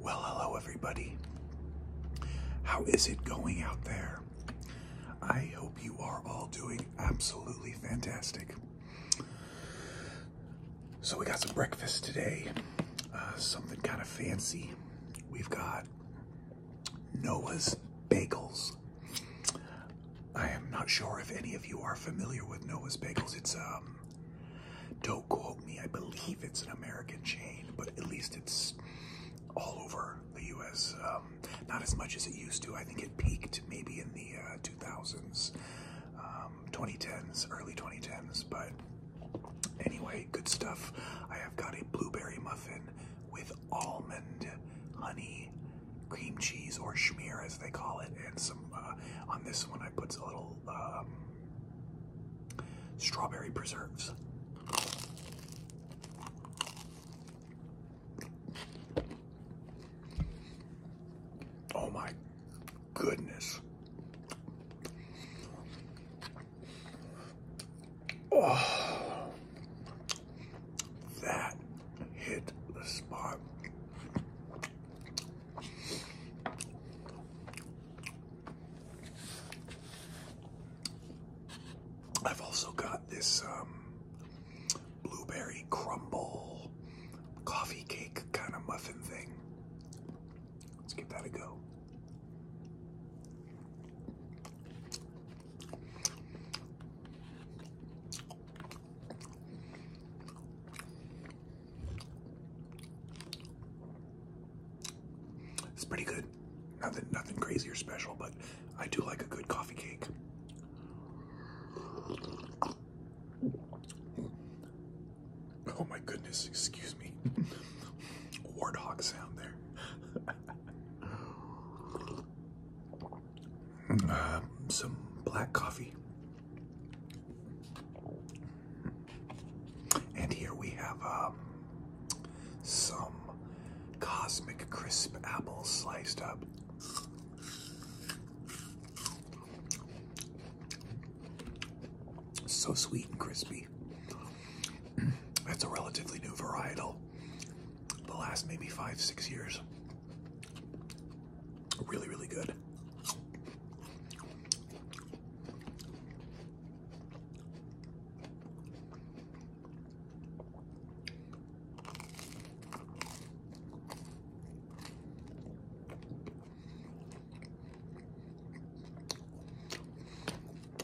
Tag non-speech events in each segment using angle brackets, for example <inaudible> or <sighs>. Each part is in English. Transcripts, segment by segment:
Well, hello, everybody. How is it going out there? I hope you are all doing absolutely fantastic. So, we got some breakfast today, uh, something kind of fancy. We've got Noah's Bagels. I am not sure if any of you are familiar with Noah's Bagels. It's, um, don't quote me, I believe it's an American chain, but at least it's all over the US. Um, not as much as it used to. I think it peaked maybe in the uh, 2000s, um, 2010s, early 2010s, but anyway good stuff. I have got a blueberry muffin with almond, honey, cream cheese, or schmear as they call it, and some. Uh, on this one, I put a little um, strawberry preserves. Oh my goodness. Oh, <sighs> that hit the spot. I've also got this um, blueberry crumble coffee cake kind of muffin thing. Let's give that a go. It's pretty good. Nothing nothing crazy or special, but I do like a good coffee cake. Oh my goodness, excuse me. <laughs> Warthog sound there. Uh, some black coffee. And here we have um, some cosmic crisp apples sliced up. So sweet and crispy. That's a relatively new varietal. The last maybe five, six years. Really, really good.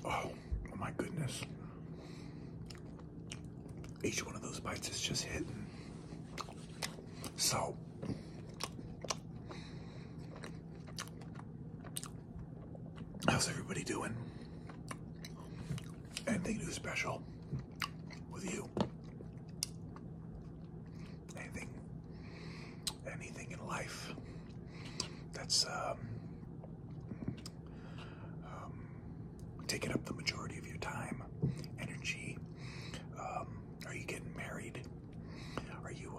Oh, my goodness. Each one of those bites is just hitting. So, how's everybody doing? Anything new special with you? anything, anything in life that's um, um, taking up the majority of your time, energy. Um, are you getting married? Are you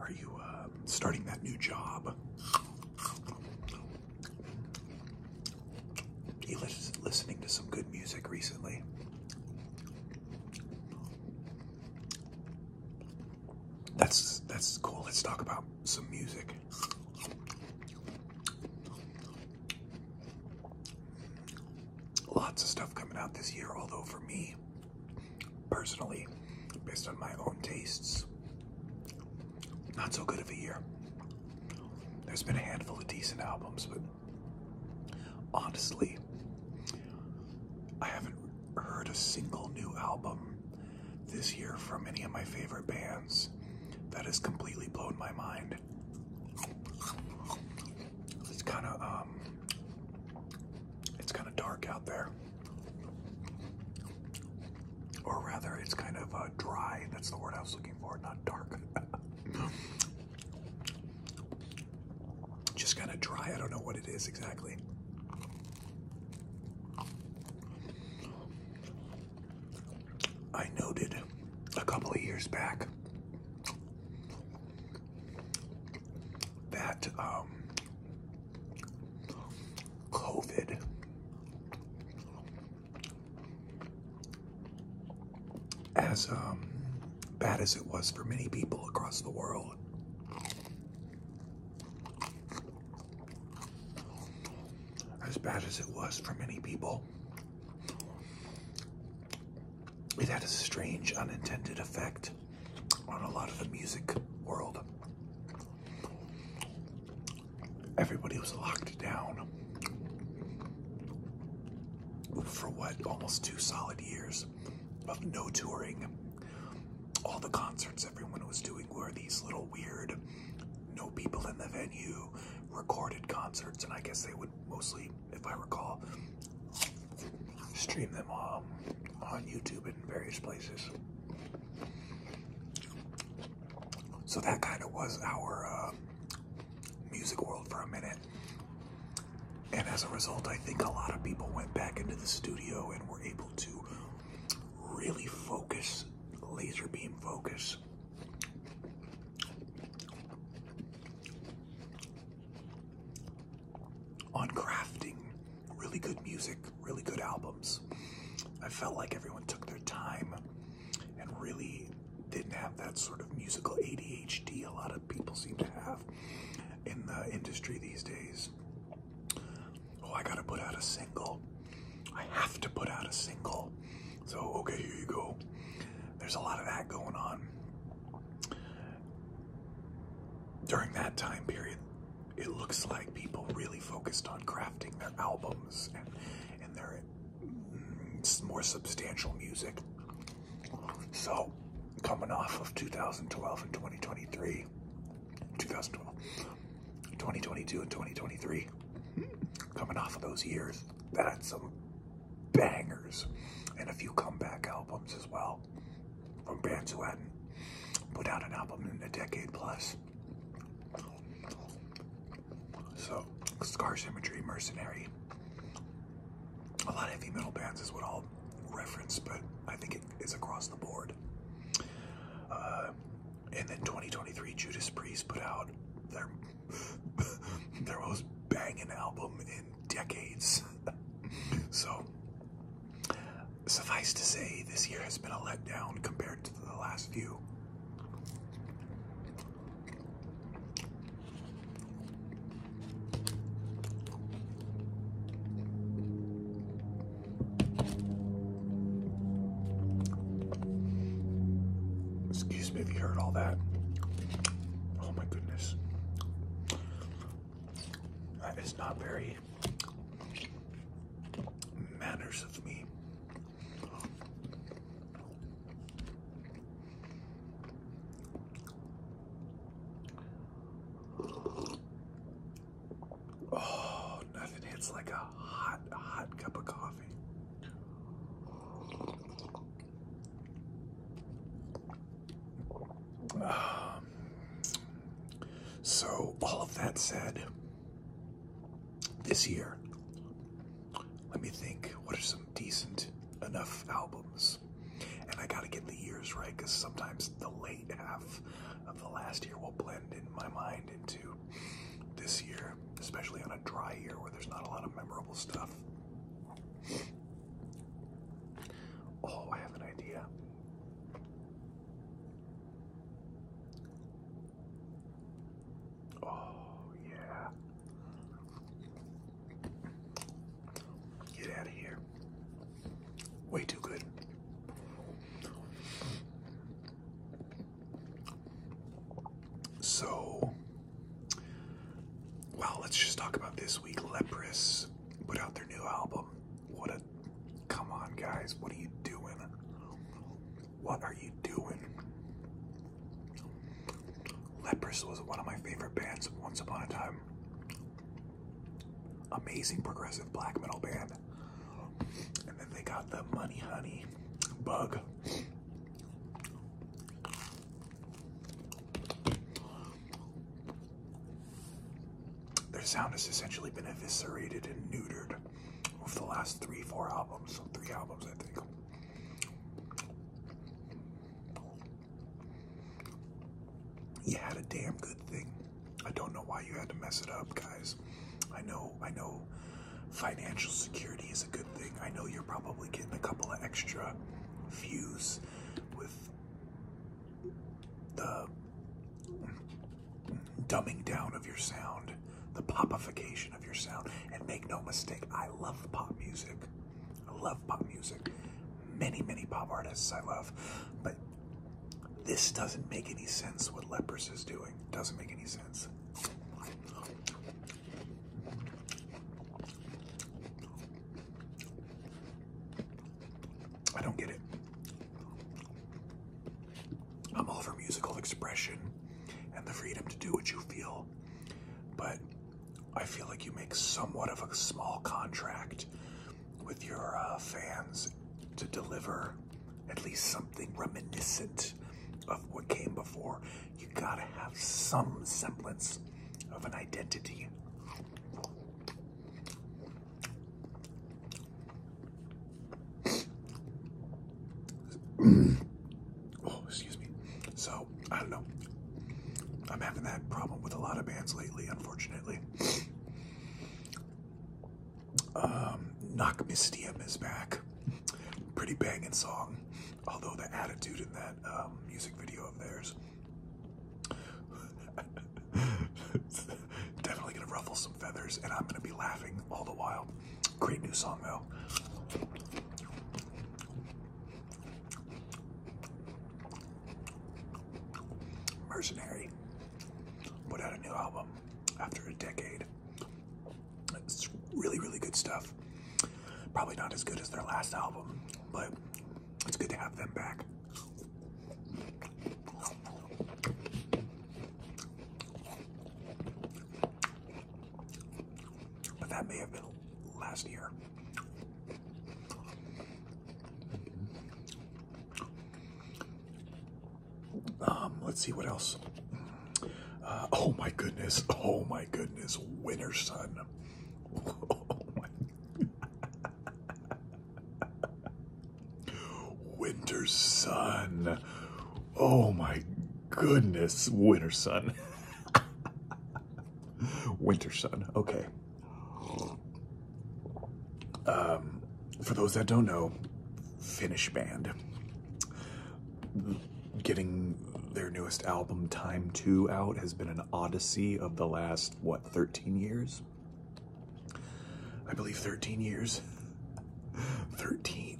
are you starting that new job? You listening to some good music recently? That's that's cool. Let's talk about some music. Lots of stuff coming out this year, although for me personally, based on my own tastes, not so good of a year. There's been a handful of decent albums, but honestly, I haven't heard a single new album this year from any of my favorite bands. That has completely blown my mind. It's kind of um, it's kind of dark out there, or rather, it's kind of uh, dry. That's the word I was looking for, not dark. <laughs> Just kind of dry. I don't know what it is exactly. I noted a couple of years back that um, COVID as um, bad as it was for many people across the world. As bad as it was for many people, it had a strange, unintended effect on a lot of the music world. Everybody was locked down for what, almost two solid years of no touring. All the concerts everyone was doing were these little weird, no people in the venue, recorded concerts, and I guess they would mostly, if I recall, stream them on, on YouTube and various places. So that kind of was our uh, music world for a minute. And as a result, I think a lot of people went back into the studio and were able to really focus, laser beam focus. On crafting really good music, really good albums. I felt like everyone took their time and really didn't have that sort of musical ADHD a lot of people seem to have in the industry these days. Oh, I gotta put out a single. I have to put out a single. So, okay, here you go. There's a lot of that going on. During that time period, it looks like people really focused on crafting their albums and, and their mm, more substantial music. So, coming off of 2012 and 2023, 2012, 2022 and 2023, coming off of those years, that had some bangers and a few comeback albums as well from bands who hadn't put out an album in a decade plus. So, Scar Symmetry, Mercenary, a lot of heavy metal bands is what I'll reference, but I think it is across the board. Uh, and then 2023, Judas Priest put out their <laughs> their most banging album in decades. <laughs> so, suffice to say, this year has been a letdown compared to the last few. Excuse me if you heard all that. Oh my goodness. That is not very manners of me. Oh, nothing hits like a hot, hot cup of coffee. Um, so, all of that said, this year let me think, what are some decent enough albums? And I gotta get the years right because sometimes the late half of the last year will blend in my mind into this year, especially on a dry year where there's not a lot of memorable stuff. Oh, I have an idea. Oh, yeah. Get out of here. Way too good. So, well, let's just talk about this week. Leprous put out their new album. What a. Come on, guys. What are you doing? What are you doing? Leprous was one of my favorite bands once upon a time. Amazing progressive black metal band. And then they got the Money Honey bug. Their sound has essentially been eviscerated and neutered over the last three, four albums. Three albums, I think. You had a damn good thing. I don't know why you had to mess it up, guys. I know, I know financial security is a good thing. I know you're probably getting a couple of extra views with the dumbing down of your sound, the popification of your sound. And make no mistake, I love pop music. I love pop music. Many, many pop artists I love. But this doesn't make any sense what Leprous is doing. Doesn't make any sense. I don't get it. I'm all for musical expression and the freedom to do what you feel but I feel like you make somewhat of a small contract with your uh, fans to deliver at least something reminiscent of what came before. You gotta have some semblance of an identity. <clears throat> oh, excuse me. So, I don't know. I'm having that problem with a lot of bands lately, unfortunately. Um, Knock Mystium is back. Pretty banging song. Although the attitude in that um, music video of theirs <laughs> definitely gonna ruffle some feathers, and I'm gonna be laughing all the while. Great new song though. Mercenary put out a new album after a decade. It's really, really good stuff. Probably not as good as their last album, but it's good to have them back. But that may have been last year. Um, let's see what else. Uh, oh my goodness. Oh my goodness. Winter sun. <laughs> Oh <laughs> winter sun. Oh my goodness, Winter Sun. Winter Sun, okay. Um, for those that don't know, Finnish band. Getting their newest album, Time 2, out has been an odyssey of the last, what, 13 years? I believe 13 years. <laughs> 13,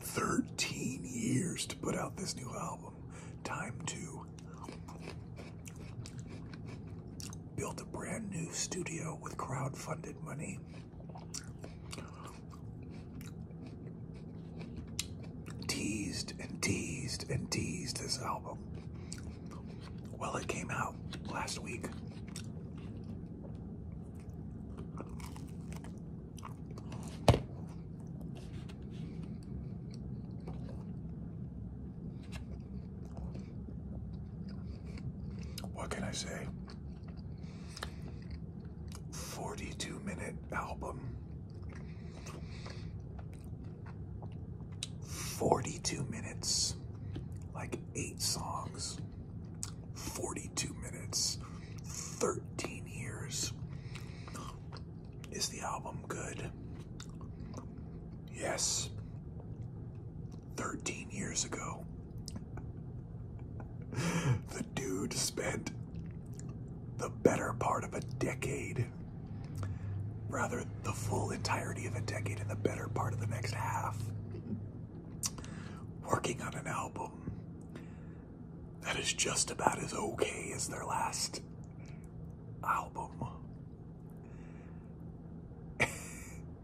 years to put out this new album. Time to build a brand new studio with crowd-funded money. Teased and teased and teased this album. Well, it came out last week. What can I say? 42 minute album. 42 minutes, like eight songs. 42 minutes, 13 years. Is the album good? Yes. 13 years ago, <laughs> the dude spent the better part of a decade, rather, the full entirety of a decade and the better part of the next half, working on an album that is just about as okay as their last album.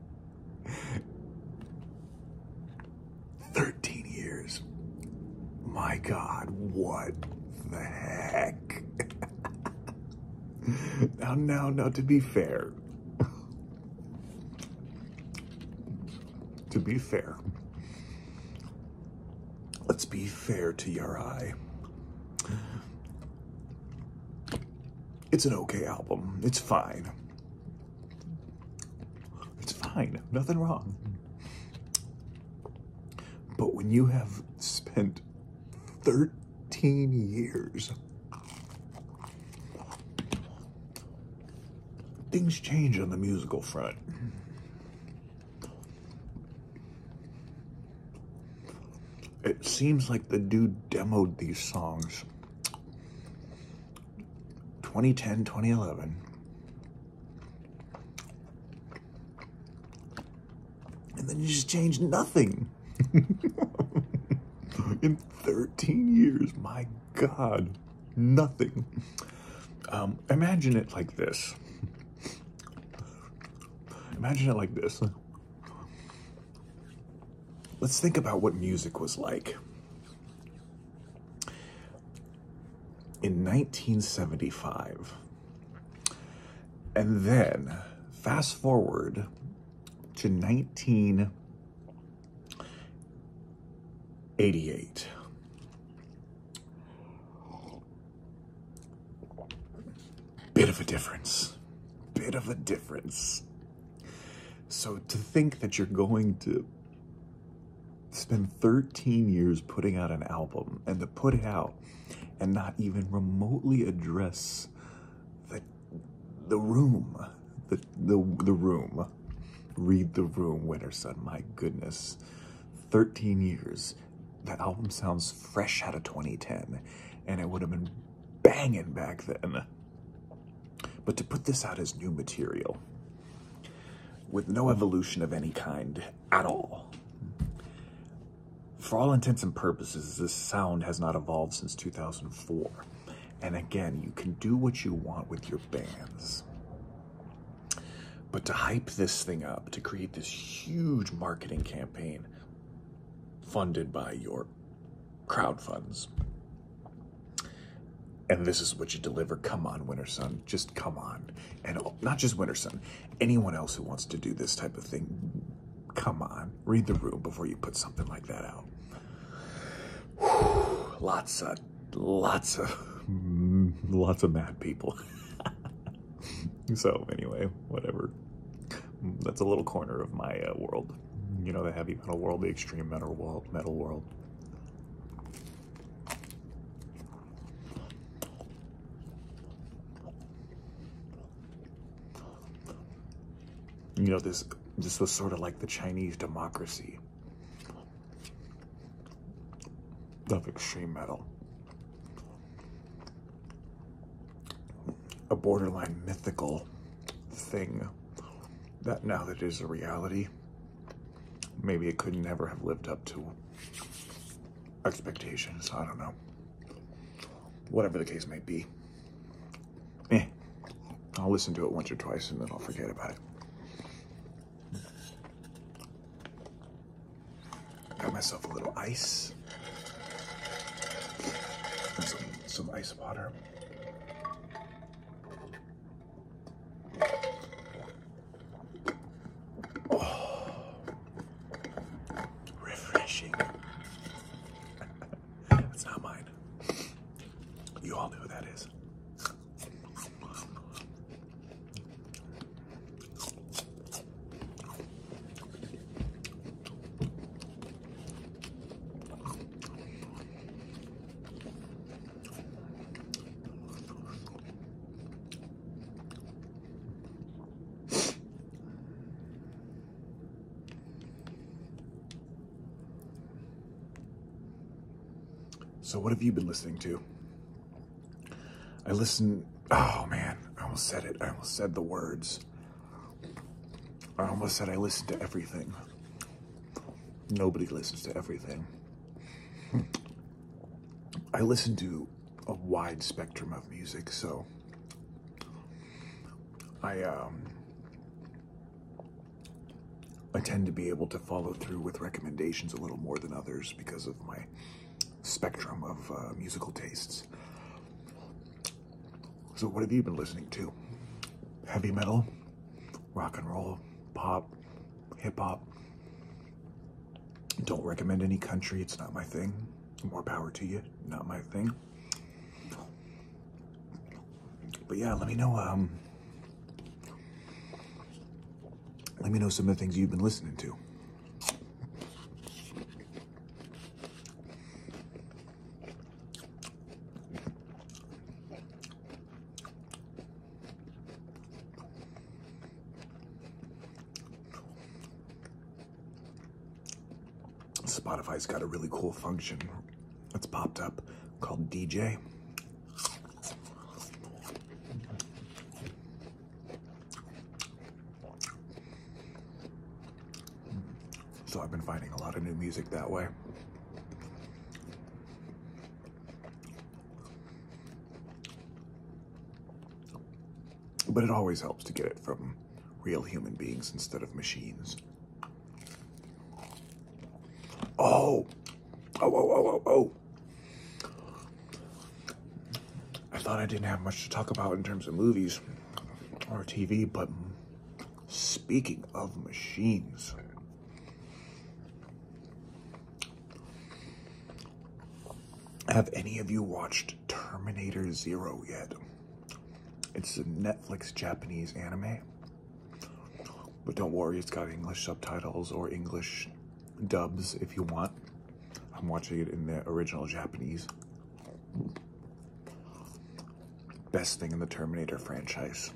<laughs> Thirteen years. My God, what the heck? <laughs> now, now, now, to be fair to be fair, let's be fair to Yari. It's an okay album. It's fine. It's fine. Nothing wrong. But when you have spent 13 years things change on the musical front. It seems like the dude demoed these songs 2010, 2011. And then you just changed nothing. <laughs> In 13 years, my God, nothing. Um, imagine it like this. Imagine it like this. Let's think about what music was like. In 1975. And then fast forward to 19 88. Bit of a difference. Bit of a difference. So to think that you're going to spend 13 years putting out an album and to put it out and not even remotely address the, the room the, the, the room. Read the room, Winterson. My goodness. 13 years. That album sounds fresh out of 2010, and it would have been banging back then. But to put this out as new material, with no evolution of any kind at all, for all intents and purposes, this sound has not evolved since 2004. And again, you can do what you want with your bands. But to hype this thing up, to create this huge marketing campaign funded by your crowd funds, and this is what you deliver. Come on, Winter Sun, just come on. And not just Winter Sun, anyone else who wants to do this type of thing, come on, read the room before you put something like that out. <sighs> lots of, lots of, <laughs> lots of mad people. <laughs> so anyway, whatever. That's a little corner of my uh, world. You know, the heavy metal world, the extreme metal world, metal world. You know, this this was sort of like the Chinese democracy of extreme metal. A borderline mythical thing that now that it is a reality, maybe it could never have lived up to expectations. I don't know. Whatever the case may be eh, I'll listen to it once or twice and then I'll forget about it. Got myself a little ice. And some, some ice water. Oh, refreshing. <laughs> It's not mine. You all know who that is. So, what have you been listening to? I listen. Oh man, I almost said it. I almost said the words. I almost said I listen to everything. Nobody listens to everything. <laughs> I listen to a wide spectrum of music, so I um I tend to be able to follow through with recommendations a little more than others because of my spectrum of uh, musical tastes. So, what have you been listening to? Heavy metal, rock and roll, pop, hip hop. Don't recommend any country, it's not my thing. More power to you, not my thing. But yeah, let me know. Um, let me know some of the things you've been listening to. Spotify's got a really cool function that's popped up called DJ. So I've been finding a lot of new music that way. But it always helps to get it from real human beings instead of machines. Oh, oh, oh, oh, oh, I thought I didn't have much to talk about in terms of movies or TV, but speaking of machines, have any of you watched Terminator Zero yet? It's a Netflix Japanese anime. But don't worry, it's got English subtitles or English dubs if you want. I'm watching it in the original Japanese. Best thing in the Terminator franchise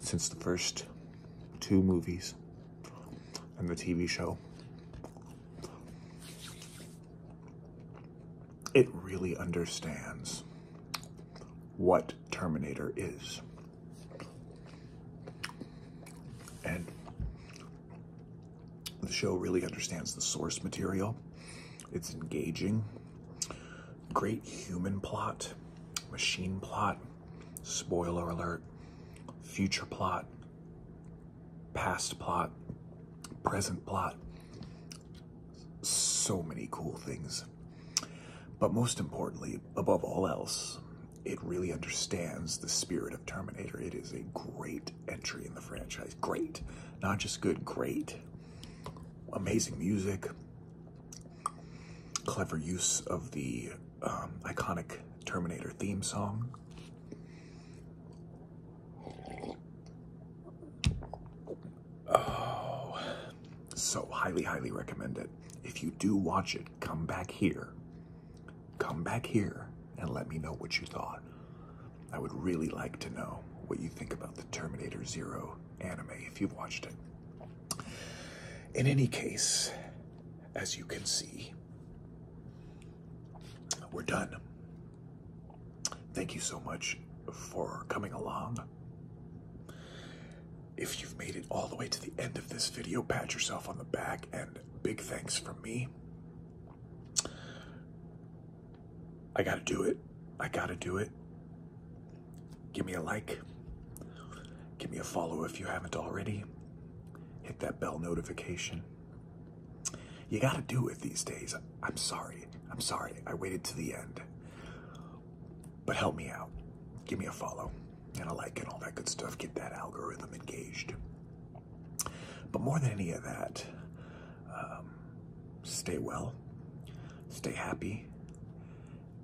since the first two movies and the TV show it really understands what Terminator is. And the show really understands the source material. It's engaging. Great human plot, machine plot, spoiler alert, future plot, past plot, present plot so many cool things. But most importantly, above all else, it really understands the spirit of Terminator. It is a great entry in the franchise. Great. Not just good, great. Amazing music, clever use of the um, iconic Terminator theme song. Oh, so highly, highly recommend it. If you do watch it, come back here. Come back here and let me know what you thought. I would really like to know what you think about the Terminator Zero anime if you've watched it. In any case, as you can see, we're done. Thank you so much for coming along. If you've made it all the way to the end of this video, pat yourself on the back and big thanks from me. I gotta do it. I gotta do it. Give me a like. Give me a follow if you haven't already. Hit that bell notification. You gotta do it these days. I'm sorry. I'm sorry. I waited to the end. But help me out. Give me a follow and a like and all that good stuff. Get that algorithm engaged. But more than any of that, um, stay well, stay happy,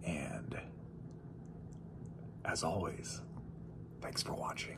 and as always, thanks for watching.